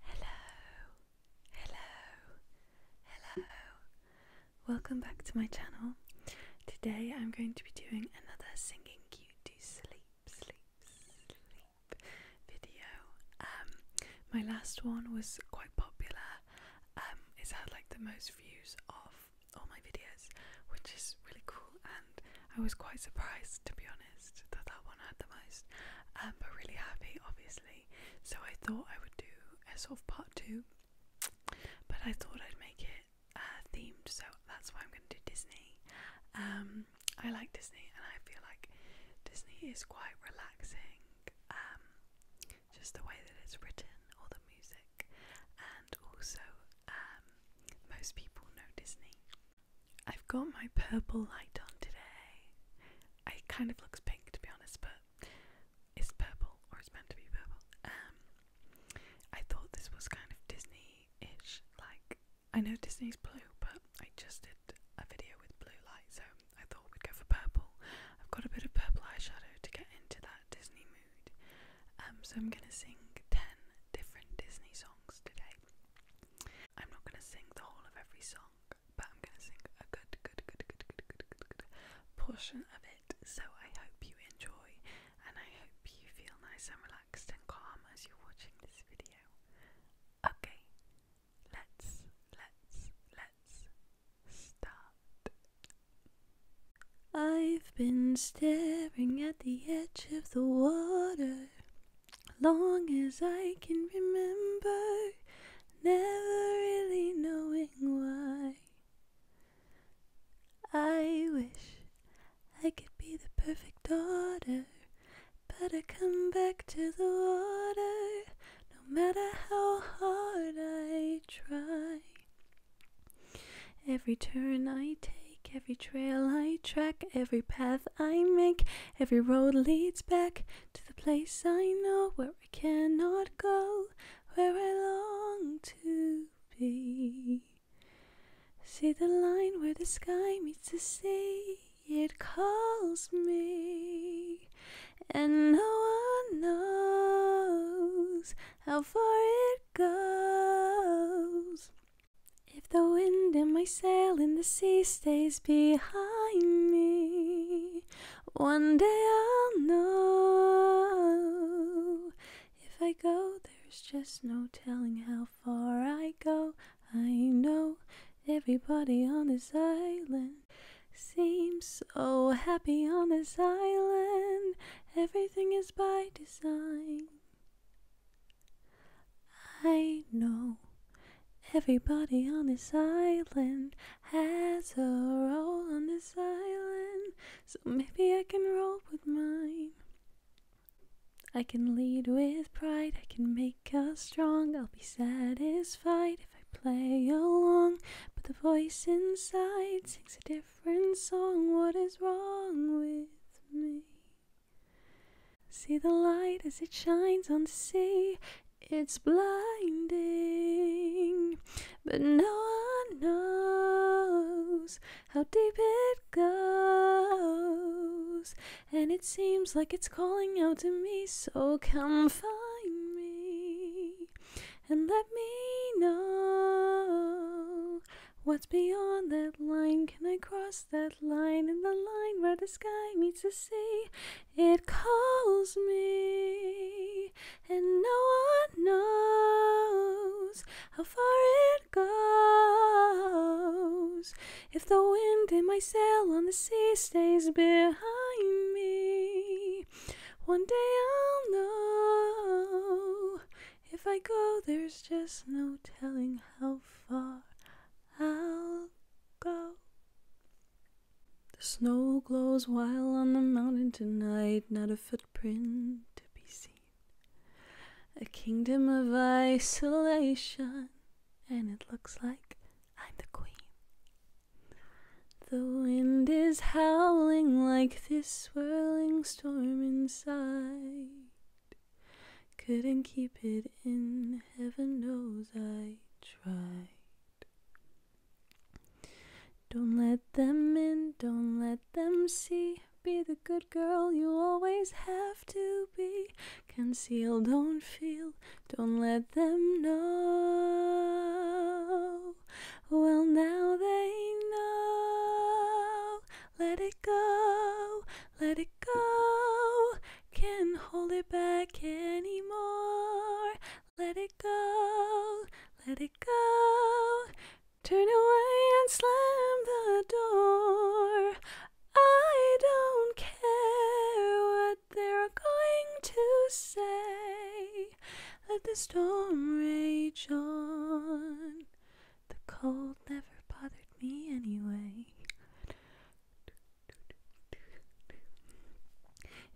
Hello, hello, hello. Welcome back to my channel. Today I'm going to be doing another singing cute to sleep, sleep, sleep video. Um, my last one was quite popular. Um, it's had like the most views of all my videos, which is really cool, and I was quite surprised to be honest honest, that that one had the most. Um, but really happy, obviously. So I thought I would do a sort of part two, but I thought I'd make it uh, themed, so that's why I'm going to do Disney. Um, I like Disney, and I feel like Disney is quite relaxing. Um, just the way that it's written, or the music, and also um, most people know Disney. I've got my purple light on today. It kind of looks pink to be honest, but it's purple or it's meant to be purple. Um, I thought this was kind of Disney-ish. Like I know Disney's blue, but I just did a video with blue light, so I thought we'd go for purple. I've got a bit of purple eyeshadow to get into that Disney mood. Um, so I'm gonna sing ten different Disney songs today. I'm not going to sing the whole of every song, but I'm going to sing a good, good, good, good, good, good, good, good portion of it. So I hope you enjoy, and I hope you feel nice and relaxed and calm as you're watching this video. Okay, let's, let's, let's start. I've been staring at the edge of the water. Long as I can remember, never really knowing why. I wish I could be the perfect daughter, but I come back to the water no matter how hard I try. Every turn I take, every trail I track, every path I make, Every road leads back to the place I know where I cannot go, where I long to be. See the line where the sky meets the sea, it calls me, and no one knows how far it goes. If the wind in my sail in the sea stays behind me, one day I'll know. If I go, there's just no telling how far I go. I know everybody on this island seems so happy on this island. Everything is by design. I know everybody on this island has a role on this island, so maybe I can roll with mine. I can lead with pride, I can make us strong. I'll be satisfied if I play along. But the voice inside sings a different song. What is wrong with me? See the light as it shines on the sea, it's blinding, but no one knows how deep it goes. And it seems like it's calling out to me, so come find me and let me know what's beyond that line. Can I cross? that line in the line where the sky meets the sea. It calls me, and no one knows how far it goes. If the wind in my sail on the sea stays behind me, one day I'll know. If I go, there's just no telling how far I'll go. The snow glows wild on the mountain tonight, not a footprint to be seen. A kingdom of isolation, and it looks like I'm the queen. The wind is howling like this swirling storm inside. Couldn't keep it in, heaven knows I tried. Don't let them in, don't let them see. Be the good girl you always have to be. Conceal, don't feel, don't let them know. Well, now they know. Let it go, let it go. Can't hold it back anymore. Let it go, let it go. Turn away and slam the door. I don't care what they're going to say. Let the storm rage on. The cold never bothered me anyway.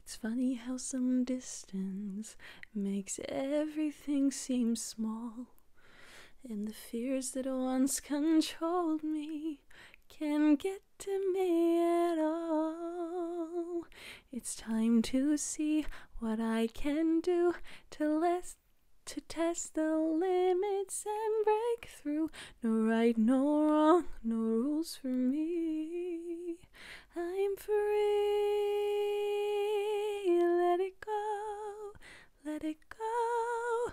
It's funny how some distance makes everything seem small, and the fears that once controlled me can get to me at all. It's time to see what I can do to less to test the limits and break through no right, no wrong, no rules for me. I'm free. Let it go, let it go.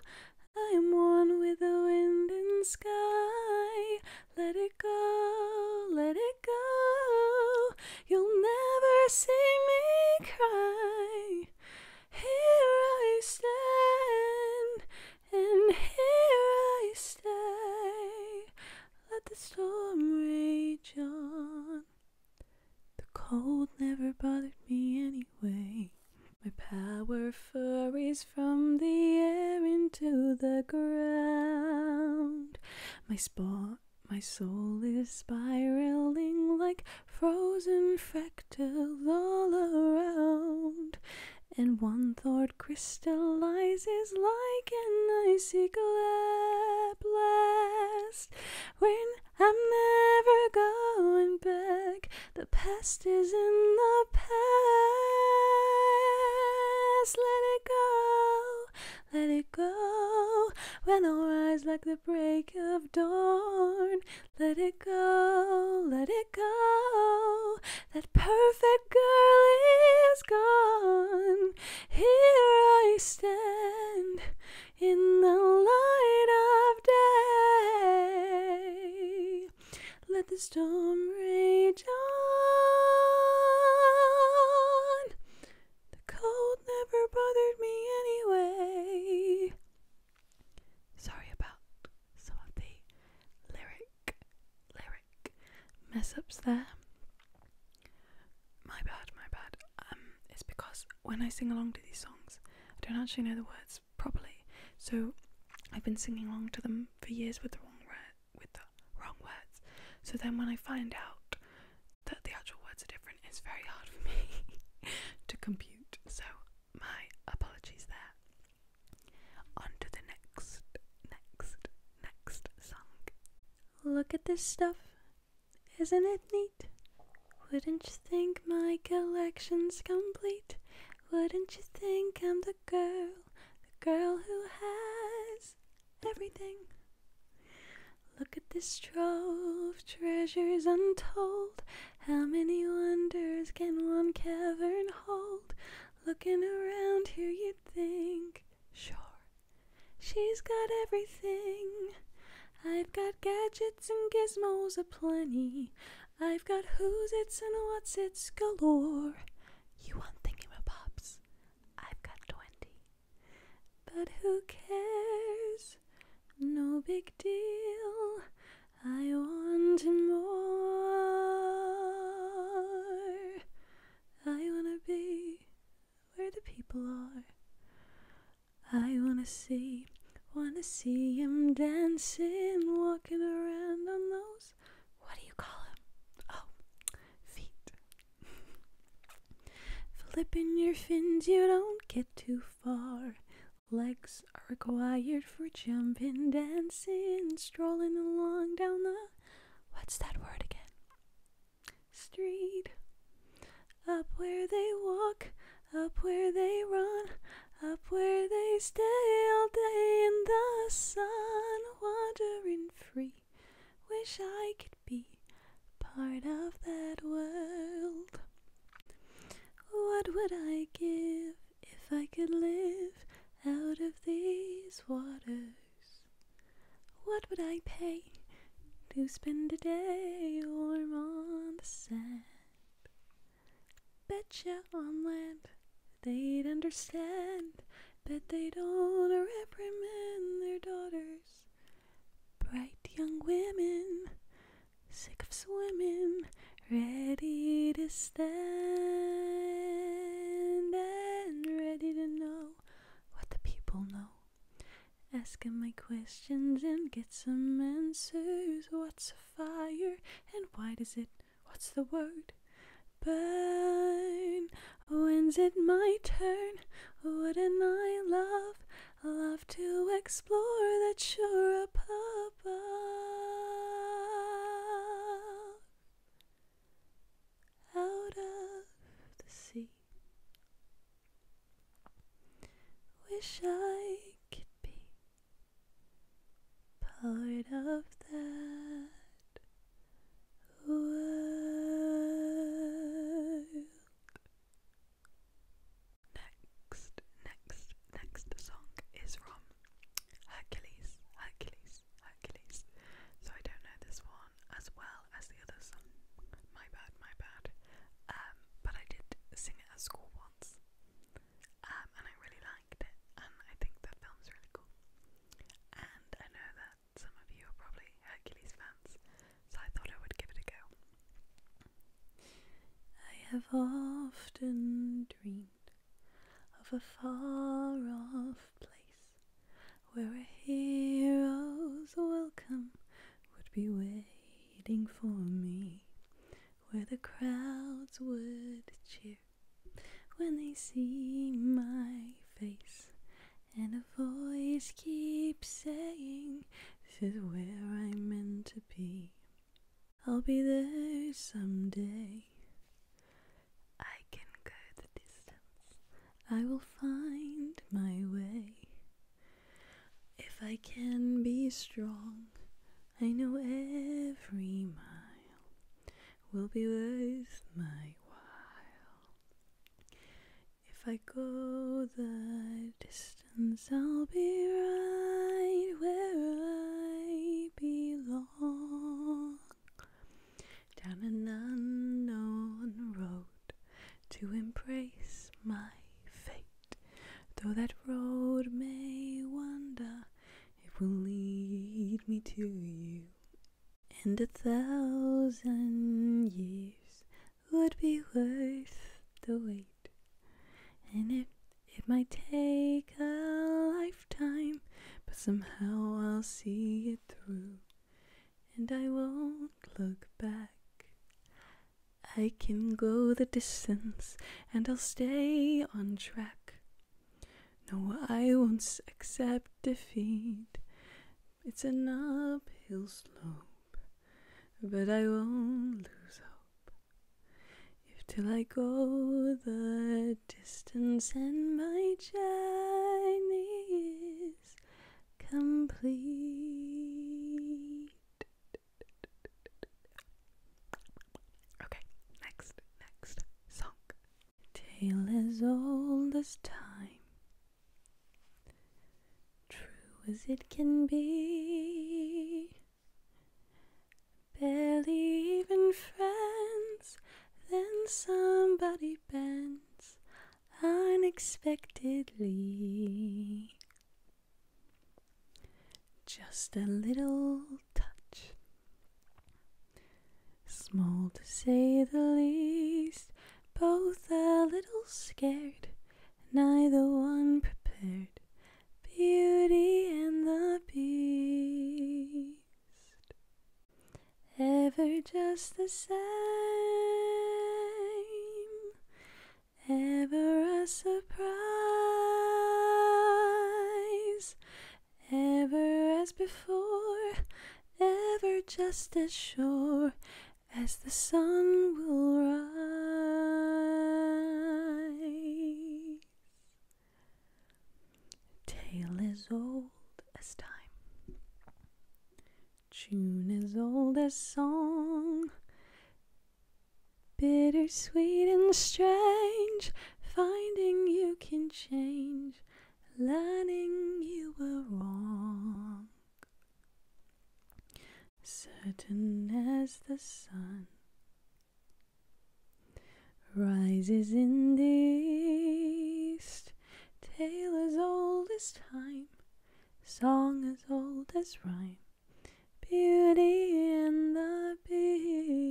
I'm one with the wind and sky. Let it go, let it go. You'll never see me cry. Here I stand. And here I stay, let the storm rage on. The cold never bothered me anyway. My power furries from the air into the ground. My spot, my soul is spiraling like frozen freckles cocktails all around, and one thought crystallizes like an icy at When I'm never going back, the past is in the past. Let it go, let it go. When i rise like the break of dawn, let it go, let it go. That perfect girl is gone. Here I stand in the light of day. Let the storm rage on. The cold never bothered me anyway. Sorry about some of the lyric, lyric mess ups there. My bad, my bad. Um, it's because when I sing along to these songs, I don't actually know the words properly. So I've been singing along to them for years with the wrong with the wrong words. So then when I find out that the actual words are different, it's very hard for me to compute. So my apologies there. On the next, next, next song. Look at this stuff. Isn't it neat? Wouldn't you think my collection's complete? Wouldn't you think I'm the girl, the girl who has everything? Look at this trove, of treasures untold. How many wonders can one cavern hold? Looking around here, you'd think, sure, she's got everything. I've got gadgets and gizmos aplenty. I've got who's its and what's its galore. You want thingamabobs? I've got twenty. But who cares? No big deal. I want him more. I wanna be where the people are. I wanna see, wanna see him dancing, walking around on those. What do you call him? Oh, feet. Flipping your fins, you don't get too far. Legs are required for jumping, dancing, strolling along down the what's that word again? Street. Up where they walk, up where they run, up where they stay all day in the sun, wandering free. Wish I could be part of that world. What would I give? if I could live out of these waters, what would I pay to spend a day warm on the sand? Betcha on land they'd understand, bet they don't reprimand their daughters, bright young women sick of swimming, ready to stand and ready to know what the people know. Asking my questions and get some answers. What's a fire and why does it? What's the word? Burn. When's it my turn? Wouldn't I love, love to explore that shore are a out of the sea. Wish I could be part of that world. Next, next, next song is from Hercules, Hercules, Hercules. So I don't know this one as well as the other song. My bad, my bad. Um, but I did sing it at school once. Um, and I really liked it, and I think the film's really cool. And I know that some of you are probably Hercules fans, so I thought I would give it a go. I have often dreamed of a far off place where a hero's welcome would be waiting for me, where the crowds would cheer when they see my face, and a voice keeps saying, This is where I'm meant to be. I'll be there someday. I can go the distance. I will find my way. If I can be strong, I know every mile will be worth my while. If I go the distance, i I'll be right where I belong. Down an unknown road to embrace my fate. Though that road may wander, it will lead me to you. And a thousand years would be worth the wait. And it it might take a lifetime, but somehow I'll see it through. And I won't look back. I can go the distance and I'll stay on track. No, I won't accept defeat. It's an uphill slope, but I won't lose hope. If till I go the distance and my journey is complete. Okay, next, next song. Tale as old as time, true as it can be. Barely even friends, then somebody bends unexpectedly. Just a little touch, small to say the least, both a little scared, neither one prepared Beauty and the Beast. Ever just the same, ever a surprise, ever as before, ever just as sure as the sun will rise. A Tale as old as time, tune as old as song, bittersweet and strange, finding you can change, learning you were wrong. Certain as the sun Rises in the east, tale as old as time, song as old as rhyme, beauty and the beast.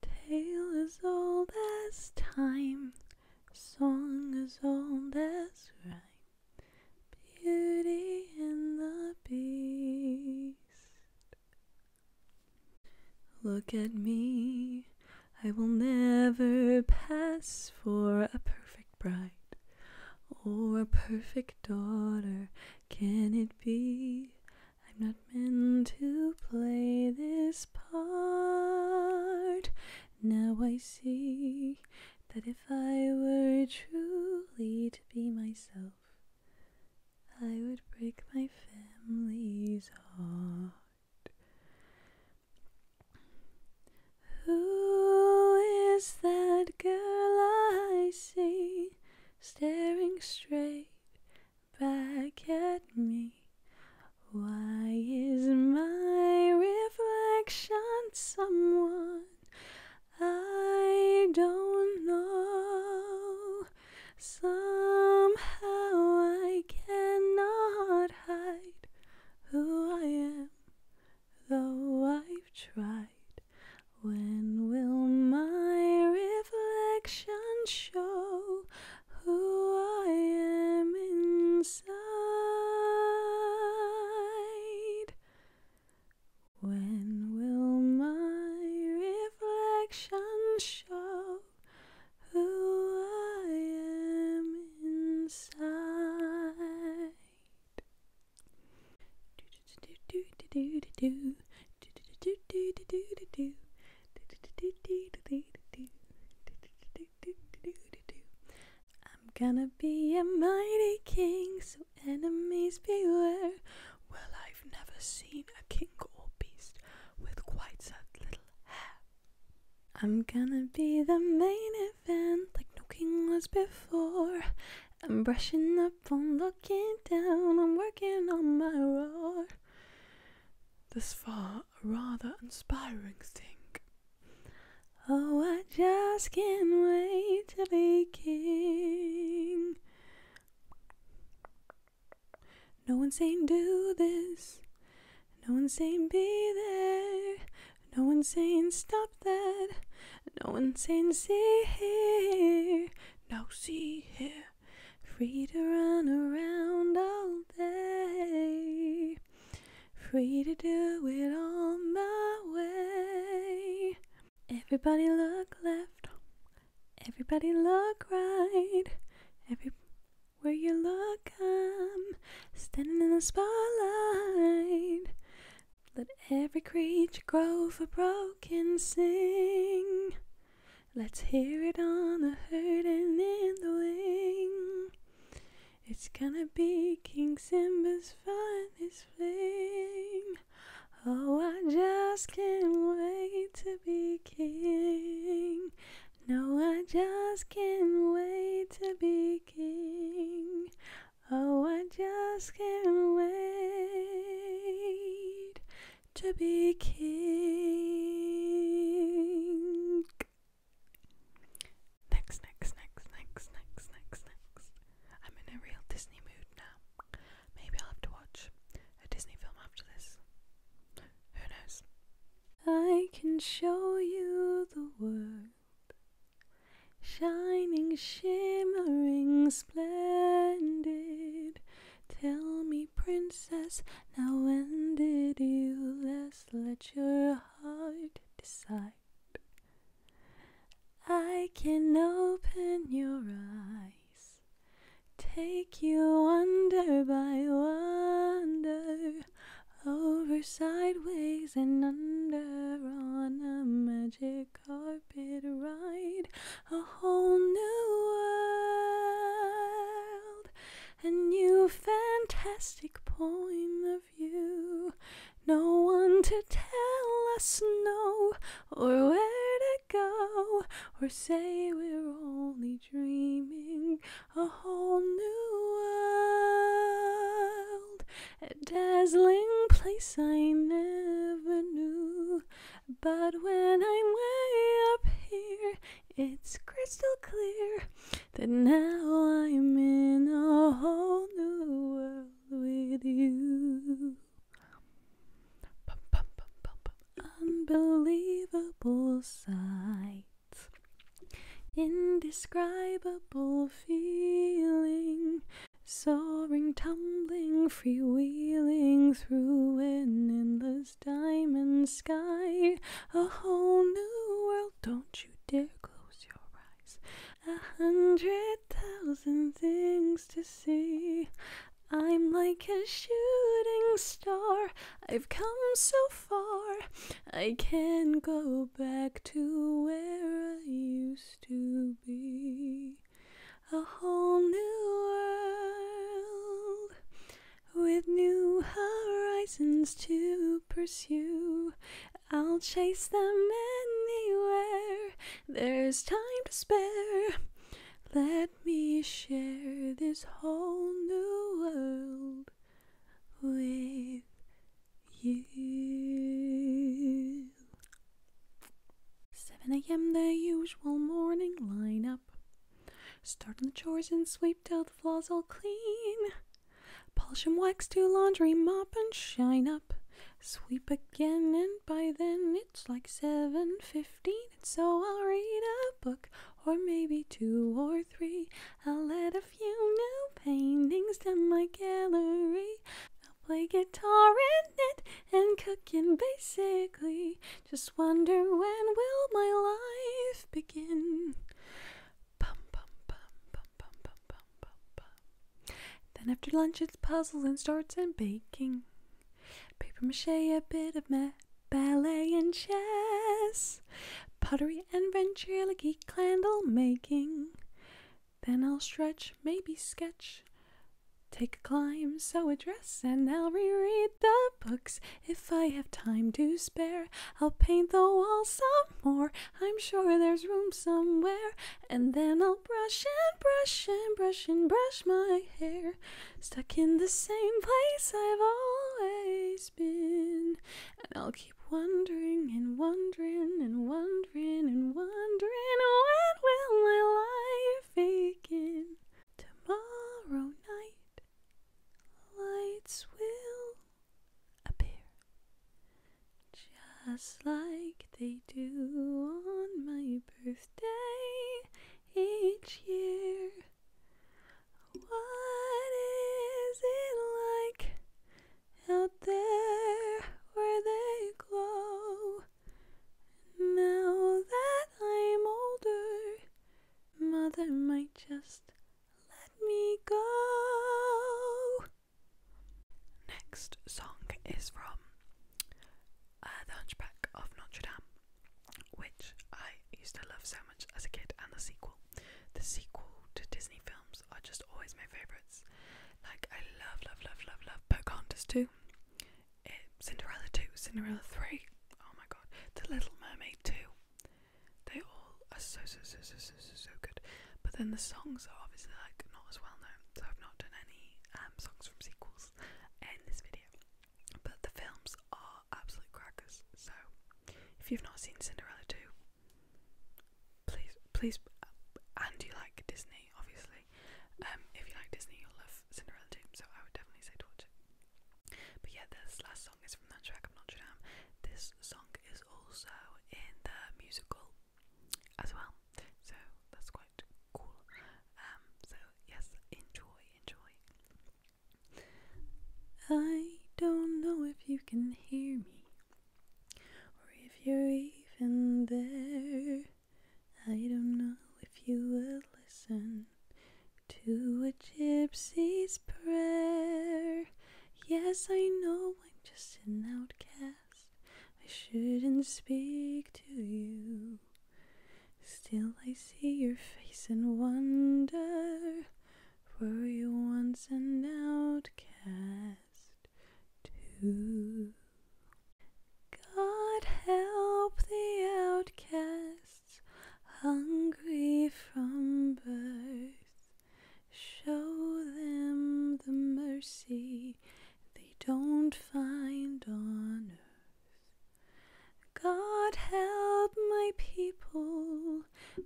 Tale as old as time, song as old as rhyme. Beauty and the Beast. Look at me, I will never pass for a perfect bride or a perfect daughter. Can it be? I'm not meant to play this part. Now I see that if I were truly be myself, I would break my family's heart. Who is that girl I see staring straight back at me? Why is my reflection someone? I don't know. Somehow I cannot hide who I am, though I've tried. When will my reflection show who I am inside? When will my reflection show who I am inside? I'm gonna be a mighty king, enemies beware. Well, I've never seen a king or beast with quite such little hair. I'm gonna be the main event, like no king was before. I'm brushing up on looking down, I'm working on my roar. This far, a rather inspiring thing. Oh, I just can't wait to be king. No one's saying do this. No one's saying be there. No one's saying stop that. No one's saying see here. no see here. Free to run around all day. Free to do it all my way. Everybody look left. Everybody look right. Every where you look, I'm standing in the spotlight. Let every creature grow for broken sing. Let's hear it on the herd and in the wing. It's gonna be King Simba's finest fling. Oh, I just can't wait to be king. No, I just can't wait to be king. Oh, I just can't wait to be king. Next, next, next, next, next, next, next. I'm in a real Disney mood now. Maybe I'll have to watch a Disney film after this. Who knows? I can show you the world. Shining, shimmering, splendid. Tell me, princess, now when did you last let your heart decide? I can open your eyes, take you under by wonder, over sideways and under on a magic carpet ride, a whole new world, a new fantastic point of view. No one to tell us no, or where to go, or say we're only dreaming a whole new world. A dazzling place I never knew, but when I'm way up here, it's crystal clear that now I'm in a whole new world with you. Pum, Unbelievable sight, indescribable feeling, soaring, tumbling, freewheeling through an endless diamond sky. A whole new world, don't you dare close your eyes. A hundred thousand things to see. I'm like a shooting star. I've come so far. I can go back to where I used to be. A whole new world with new horizons to pursue. I'll chase them anywhere there's time to spare. Let me share this whole new world with you. 7 a.m., the usual morning lineup. Start on the chores and sweep till the floors all clean. Polish and wax to laundry, mop and shine up. Sweep again, and by then it's like 7.15, and so I'll read a book, or maybe two or three. I'll add a few new paintings to my gallery. I'll play guitar and knit and cooking basically. Just wonder when will my life begin? Then after lunch, it's puzzles and starts and baking. Paper mache, a bit of math, ballet and chess. Pottery and ventriloquy, candle making. Then I'll stretch, maybe sketch. Take a climb, sew a dress, and I'll reread the books if I have time to spare. I'll paint the walls some more. I'm sure there's room somewhere. And then I'll brush and brush and brush and brush my hair. Stuck in the same place I've always been. And I'll keep wondering and wondering and wondering and wondering when will my life begin? Tomorrow night lights will appear just like they do on my birthday each year. What is it like out there where they glow? Now that I'm older, Mother might just let me go. Next song is from uh, The Hunchback of Notre Dame, which I used to love so much as a kid, and the sequel. The sequel to Disney films are just always my favourites. Like, I love, love, love, love, love Pocahontas 2, it, eh, Cinderella 2, Cinderella 3, oh my god, The Little Mermaid 2. They all are so, so, so, so, so, so, so good. But then the songs are obviously like not as well known, so I've not done any um, songs from sequels in this video. But the films are absolute crackers. So if you've not seen Cinderella 2, please, please, uh, and you like Disney, obviously. Um, if you like Disney, you'll love Cinderella 2. So I would definitely say to watch it. But yeah, this last song is from that track of Notre Dame. This song is also in the musical as well. So that's quite cool. Um, so yes, enjoy, enjoy. I don't know if you can hear me or if you're even there. I don't know if you will listen to a gypsy's prayer. Yes, I know I'm just an outcast. I shouldn't speak to you. Still, I see your face and wonder. Were you once an outcast too? God help the outcasts, hungry from birth. Show them the mercy they don't find on earth. God help my people,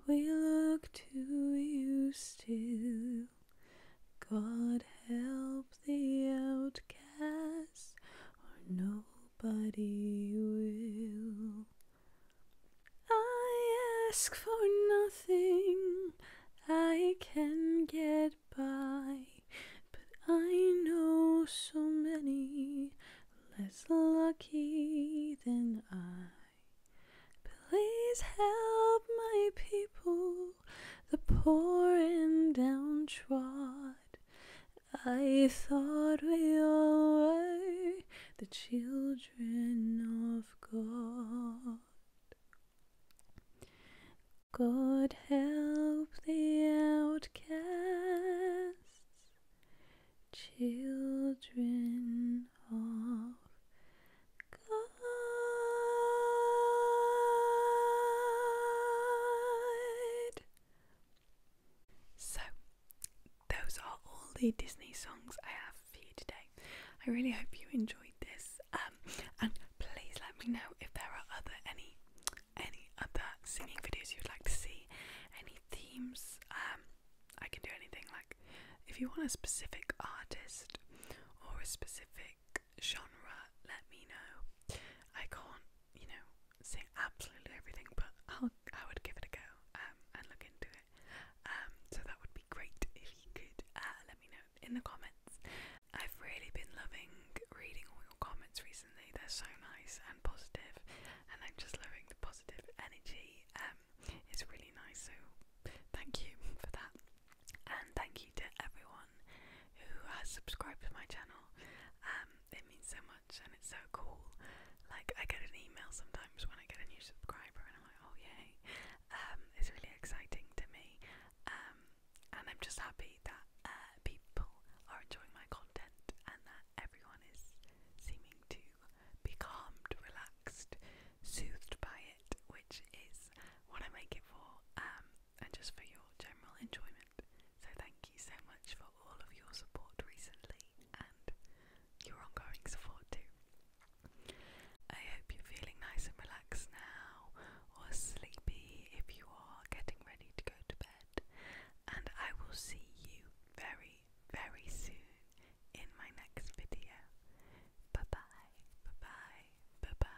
we look to you still. God help the outcasts, or nobody will. I ask for nothing I can get but I know so many less lucky than I. Please help my people, the poor and downtrodden. I thought we were the children of God. God help the outcasts, children of God. So, those are all the Disney songs I have for you today. I really hope you enjoyed this um, and please let me know if there are other any any other singing videos you'd like to see, any themes. Um, I can do anything. Like, if you want a specific artist or a specific genre, let me know. I can't, you know, say absolutely everything, but I'll I would give it a go um, and look into it. Um, so that would be great if you could uh, let me know in the comments. I've really been loving reading all your comments recently. They're so nice and positive, and I'm just loving the positive energy. Um, it's really nice. So thank you for that, and thank you to everyone who has subscribed to my channel. Um, it means so much, and it's so cool. Like I get an email sometimes when I get a new subscriber, and I'm like, oh yay! Um, it's really exciting to me. Um, and I'm just happy that uh, people are enjoying my content and that everyone is seeming to be calmed, relaxed, soothed by it, which is what I make it for, um, and just for your general enjoyment. So, thank you so much for all of your support recently and your ongoing support too. I hope you're feeling nice and relaxed now, or sleepy if you are getting ready to go to bed. And I will see you very, very soon in my next video. Bye bye, bye bye, bye bye.